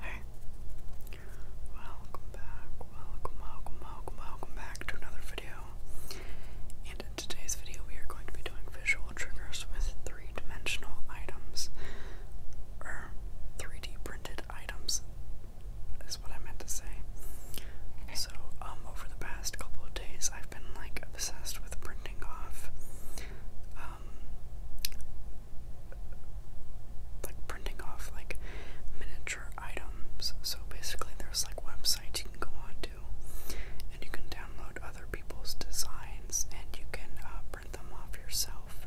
Hey, welcome back, welcome, welcome, welcome, welcome back to another video. And in today's video, we are going to be doing visual triggers with three dimensional items, or 3D printed items, is what I meant to say. So, um, over the past couple of days, I've been like obsessed with printing off, um, like printing off like miniature items. So basically, there's like websites you can go on to, and you can download other people's designs, and you can uh, print them off yourself,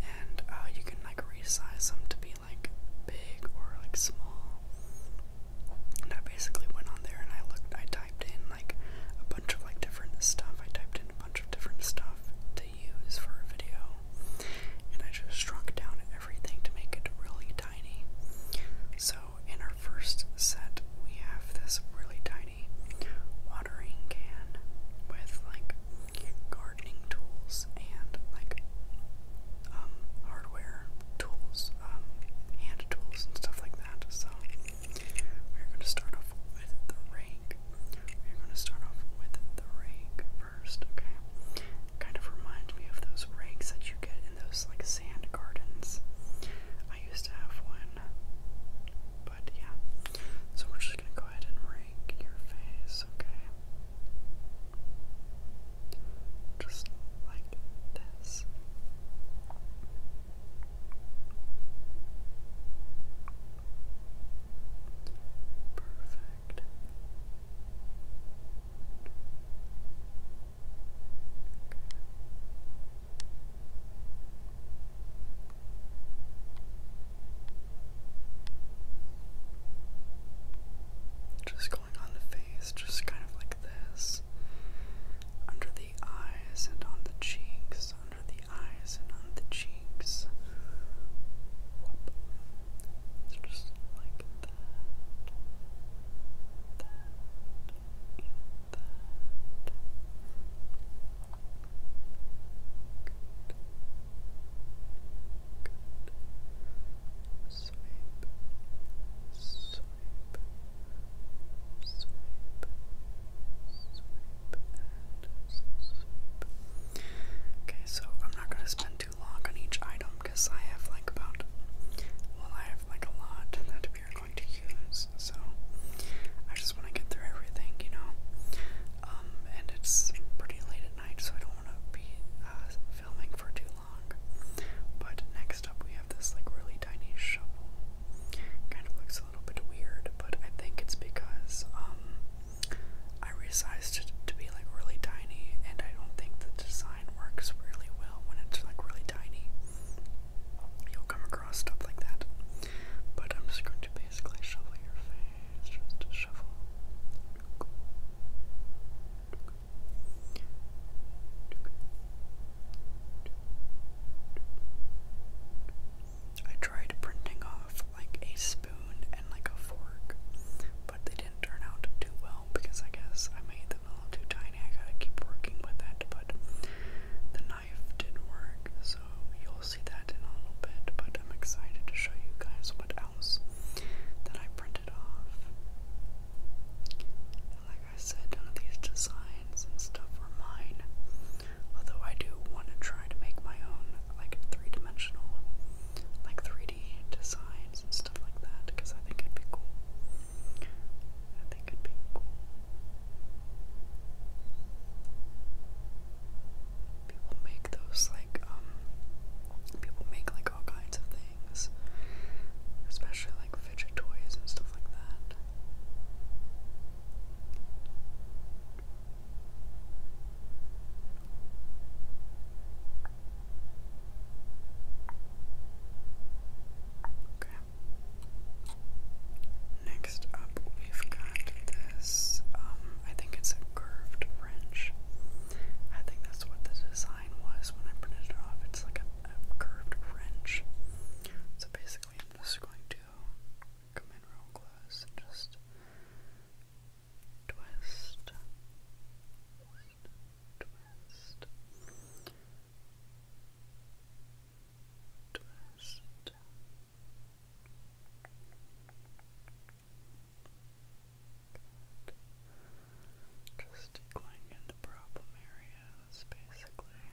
and uh, you can like resize them to be like big or like small. And I basically went on there and I looked, I typed in like a bunch of like different stuff. I typed in a bunch of different stuff to use for a video. And I just shrunk down everything to make it really tiny. So in our first set, we have this really tiny watering can with like gardening tools and like um hardware tools, um, hand tools and stuff like that. So we're going to start off with the rake. We're going to start off with the rake first, okay? Kind of reminds me of those rakes that you get in those like sand gardens. I used to have one, but yeah. So we're just gonna go ahead and rake your face, okay? Just like this. Perfect. Just going on the face, just kind of like this. Under the eyes and on the cheeks, under the eyes and on the cheeks. Whoop. just like that. That and that. Okay, so I'm not gonna spend too long on each item because I have like about, well, I have like a lot that we are going to use. So I just want to get through everything, you know. Um, and it's pretty late at night, so I don't want to be uh, filming for too long. But next up we have this like really tiny shovel. Kind of looks a little bit weird, but I think it's because um, I resized it to be like really tiny and I don't think the design works really well when it's like really tiny. You'll come across stuff like that. But I'm just going to basically shovel your face. Just shovel. I tried printing off like a spoon and like a fork, but they didn't turn out too well because I guess I made them a little too tiny. I gotta keep working with it, but the knife didn't work, so you'll see that in a little bit. But I'm excited to show you guys what else that I printed off. like I said, none of these designs and stuff were mine. Although I do want to try to make my own like three-dimensional, like 3D designs and stuff like that, because I think it'd be cool. I think it'd be cool. People make those like um people make like all kinds of things. Especially like fidget toys and stuff like that. Okay. Next up, we've got this. Um, I think it's a curved wrench. I think that's what the design was when I printed it off. It's like a, curved wrench. So basically, I'm just going to come in real close and just twist, twist, twist Good. Just going in the problem areas, basically. Okay.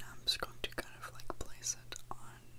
Now I'm just going to kind of like place it on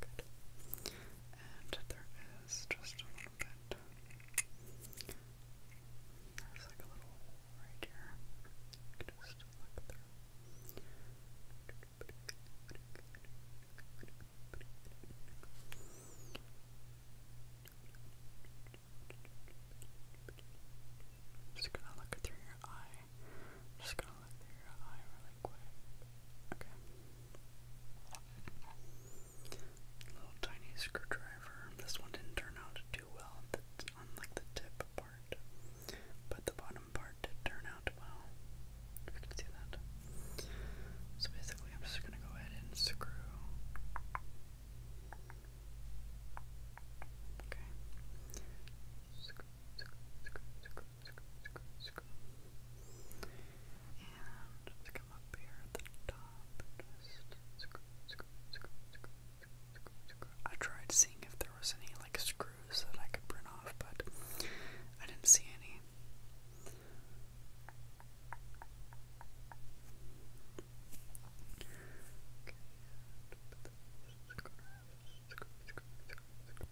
And there is just a little bit. There's like a little hole right here. just gonna look through your eye. just gonna under your eye really quick. Okay. Little tiny screwdriver. This one didn't turn out too well on like the tip part, but the bottom part did turn out well. If you can see that. So basically, I'm just gonna go ahead and screw. Okay. Screw, screw, screw, screw, and come up here at the top. Just I tried seeing if there was any like screws that I could print off, but I didn't see any. Okay,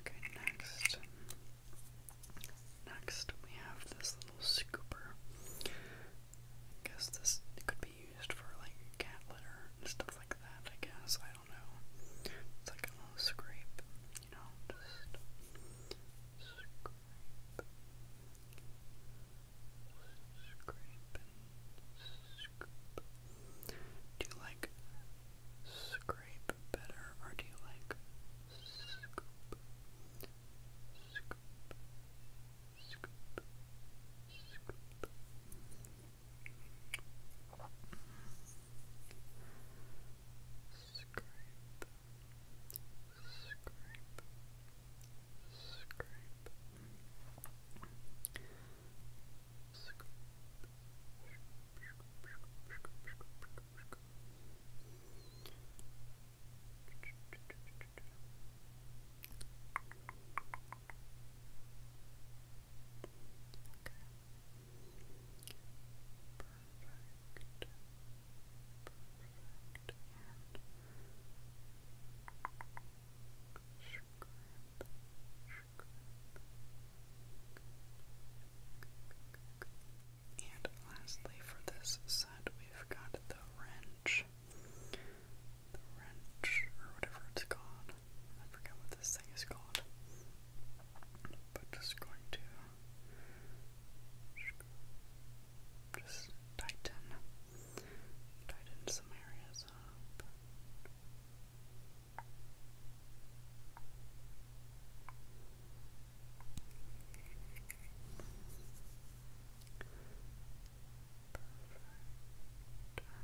Okay, next. Next, we have this little scooper. I guess this could be used for like cat litter and stuff like that, I guess. I don't know. It's like a little scrape, you know, just scrape. Scrape Do you like scrape better or do you like Scoop scrape, scrape, scrape, scrape. Okay. Perfect. And lastly, for this set, we've got the wrench. The wrench, or whatever it's called. I forget what this thing is called. But just going to just tighten, tighten some areas up. Perfect.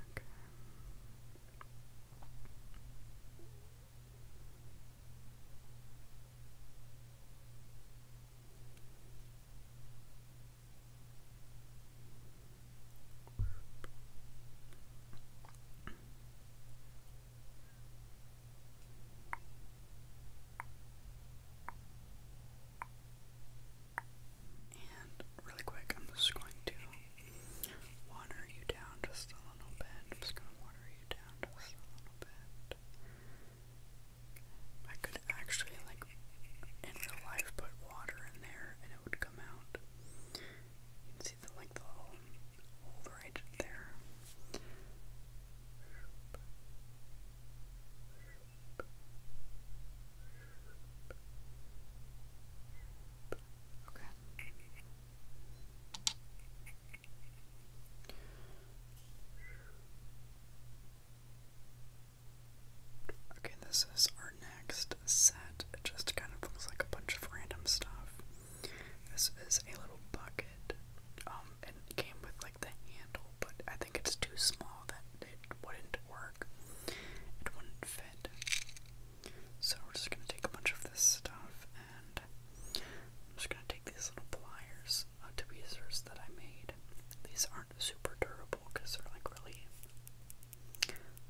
Okay. And really quick, I'm just going to water you down just a little bit. I'm just going to water you down just a little bit. I could actually, like, in real life put water in there and it would come out. You can see the, like, the little hole right there. Okay. Okay, this is our next set. It just kind of looks like a bunch of random stuff. This is a little bucket. Um, it came with like the handle, but I think it's too small that it wouldn't work. It wouldn't fit. So we're just gonna take a bunch of this stuff I'm just going to take these little pliers, uh, tweezers that I made. These aren't super durable because they're like really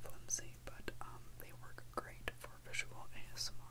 flimsy, but um, they work great for visual ASMR.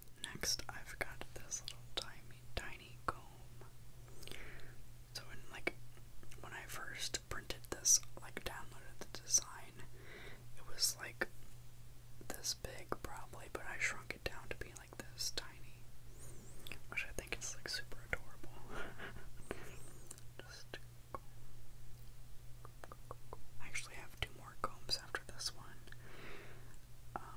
Next, I've got this little tiny, tiny comb. So, when, like, when I first printed this, like, downloaded the design, it was like this big, probably, but I shrunk it down to be like this tiny, which I think is like super adorable. Just I actually have two more combs after this one. Um,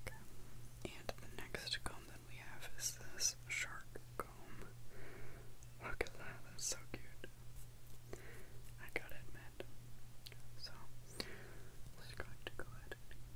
Okay. And the next comb that we have is this shark comb. Look at that, that's so cute. I gotta admit. So, we're go ahead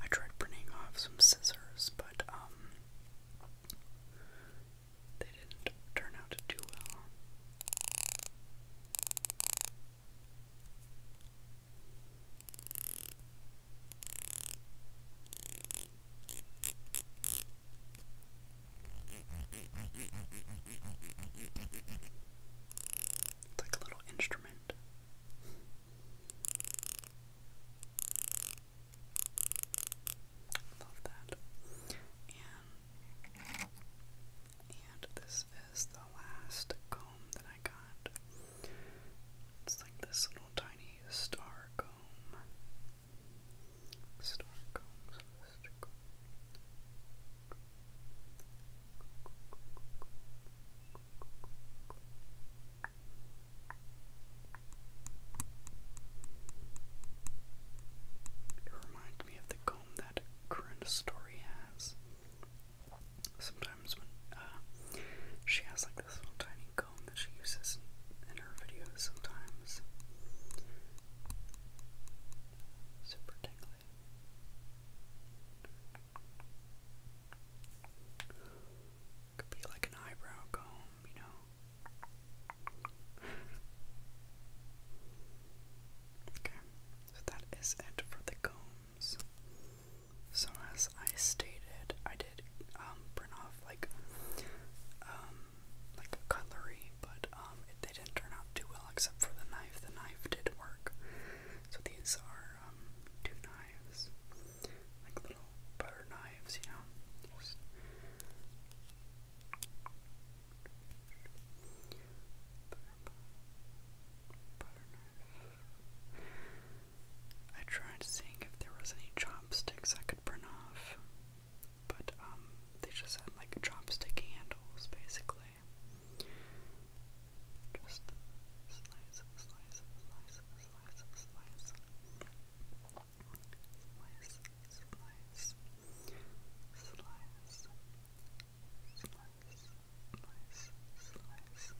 I tried printing off some scissors, but um they didn't turn out too well. It's like a little instrument. Love that. And and this is the last comb that I got. It's like this little tiny star comb. Star comb, star comb. It reminds we the comb that current story has. Sometimes when uh, she has like this little tiny comb that she uses in her videos sometimes. Super tingly. Could be like an eyebrow comb, you know. Okay, so that is it for the combs. So as I stated, I did um off like um like cutlery, but um they didn't turn out too well except for the knife. The knife did work. So these are um, two knives, like little butter knives, you know. I tried seeing if there was any chopsticks I could print off, but um, they just had like chopstick handles basically. Just slice, slice, slice, slice, slice. Slice, slice, slice, slice, slice, slice.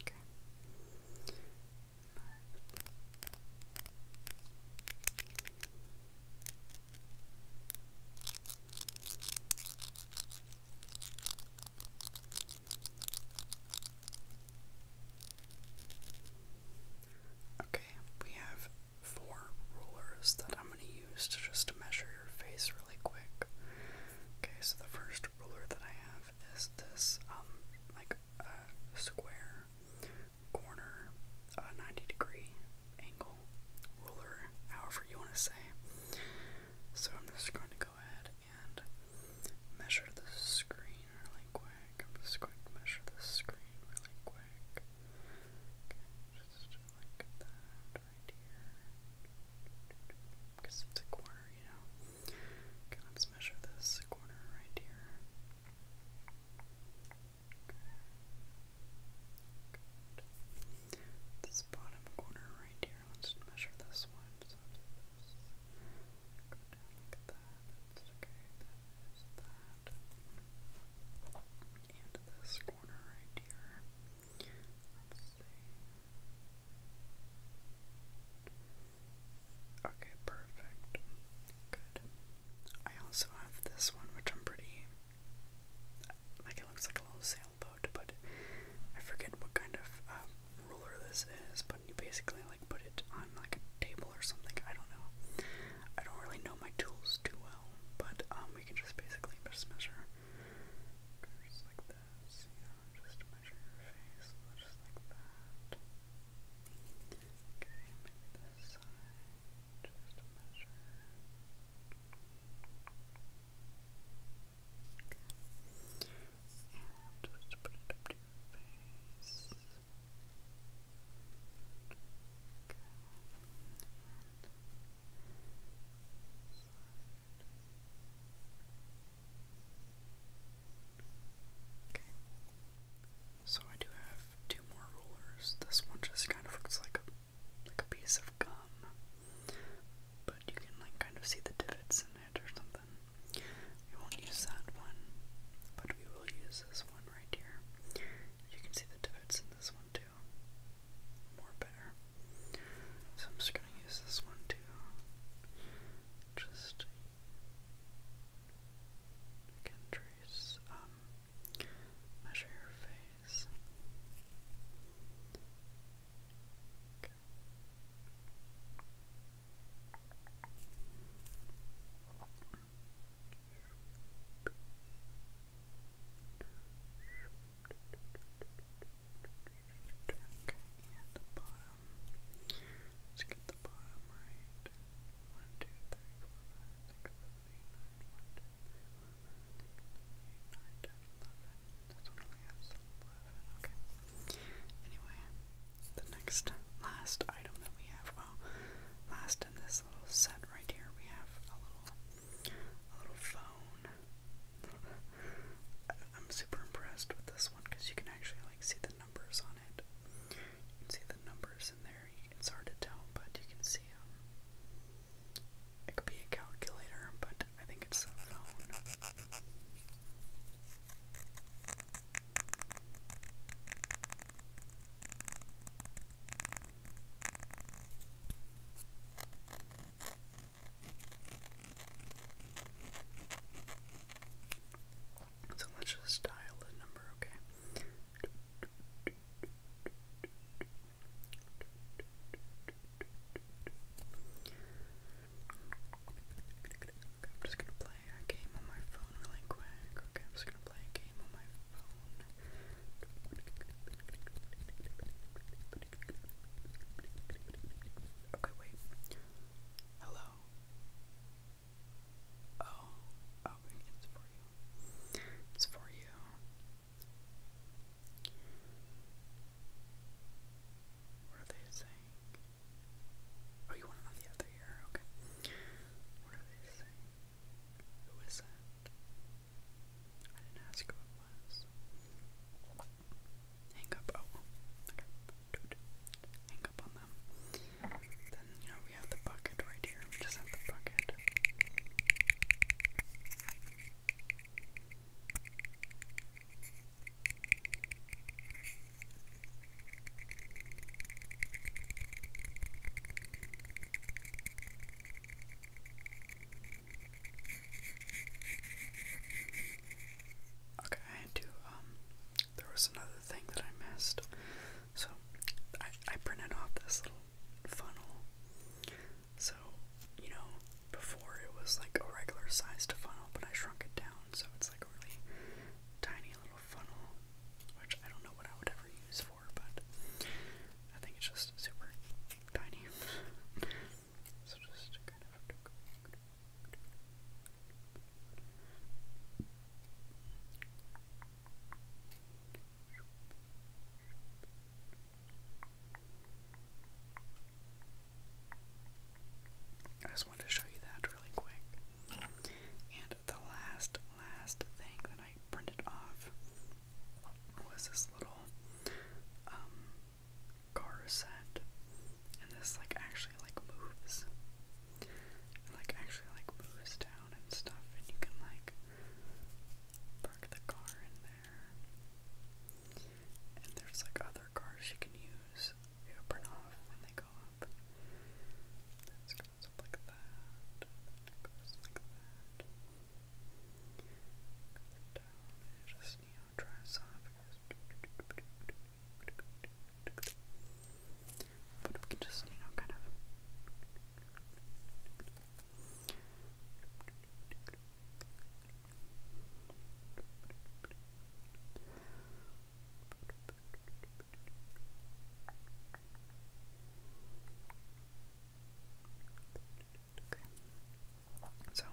Okay. Okay, we have four rulers that I'm going to use to just measure your face really quick. Okay, so the first ruler that I have is this um, like uh, square corner, uh, 90 degree angle, ruler, however you want to say. So I'm just going to go ahead and measure the screen really quick. I'm just going to measure the screen really quick. Okay, just like that right here. Because it's a corner, you know. Okay, let's measure this corner right here. Good. This bottom corner right here, let's measure this one. So this. Go down like that. That's okay. That is that. And this corner right here. Let's see. Okay, perfect. Good. I also have this one, which I'm pretty. Like, it looks like a little sailboat, but I forget what kind of um, ruler this is, but you basically, like, put it on, like, a table or something. I don't know. I don't really know my tools too well, but um, we can just basically just measure. like this, you just measure your face, just like that. Okay, maybe this side, just measure. Okay. And just put it to your face. Okay. And Okay. Okay. So I do have two more rulers. This one just kind of looks like a like a piece of gum. But you can like kind of see the divots in it or something. We won't use that one, but we will use this one right here. You can see the divots in this one too. More better. So I'm just gonna use this one too. Just you can trace, um, measure your face. Okay. Okay, and the bottom. Let's get the bottom right. 1, okay. Anyway, the next, last item that we have, well, last in this little set right here, we have a little, a little phone. I'm super impressed with this one because you can actually like see the the numbers on it. You can see the numbers in there. It's hard to tell, but you can see them. It could be a calculator, but I think it's a phone. So let's just dial the number, okay? I'm just gonna play a game on my phone really quick. Okay, I'm just gonna play a game on my phone. Okay, wait. Hello. Hello. Oh, oh, it's for you. It's for you. What are they saying? Oh, you want to know the other ear? Okay. What are they saying? Who is it? I didn't ask who it was hang up. Oh, okay. Hang up on them. Then, you know, we have the bucket right here. just have the bucket. Okay, I had to, um, there was another thing that I missed. So I, I printed off this little funnel. So, you know, before it was like a regular sized funnel, but I shrunk it down. So it's like a really tiny little funnel, which I don't know what I would ever use for, but I think it's just super tiny. I just wanted to show you that really quick. And the last, last thing that I printed off was this little um, Garisand, and this like actually like moves, it, like actually like moves down and stuff, and you can like park the car in there, and there's like other cars you can use. They open off when they go up. This goes up like that. It goes like that. Goes down. It just neon dry esophagus. But we can just, you know, kind of. Okay. So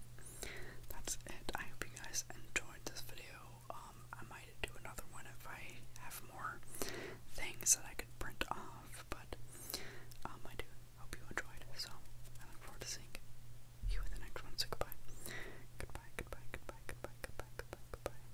that's it. I hope you guys enjoyed this video. Um, I might do another one if I have more things that I could print off, but um, I do hope you enjoyed. So I look forward to seeing you in the next one. So goodbye. Goodbye, goodbye, goodbye, goodbye, goodbye, goodbye, goodbye.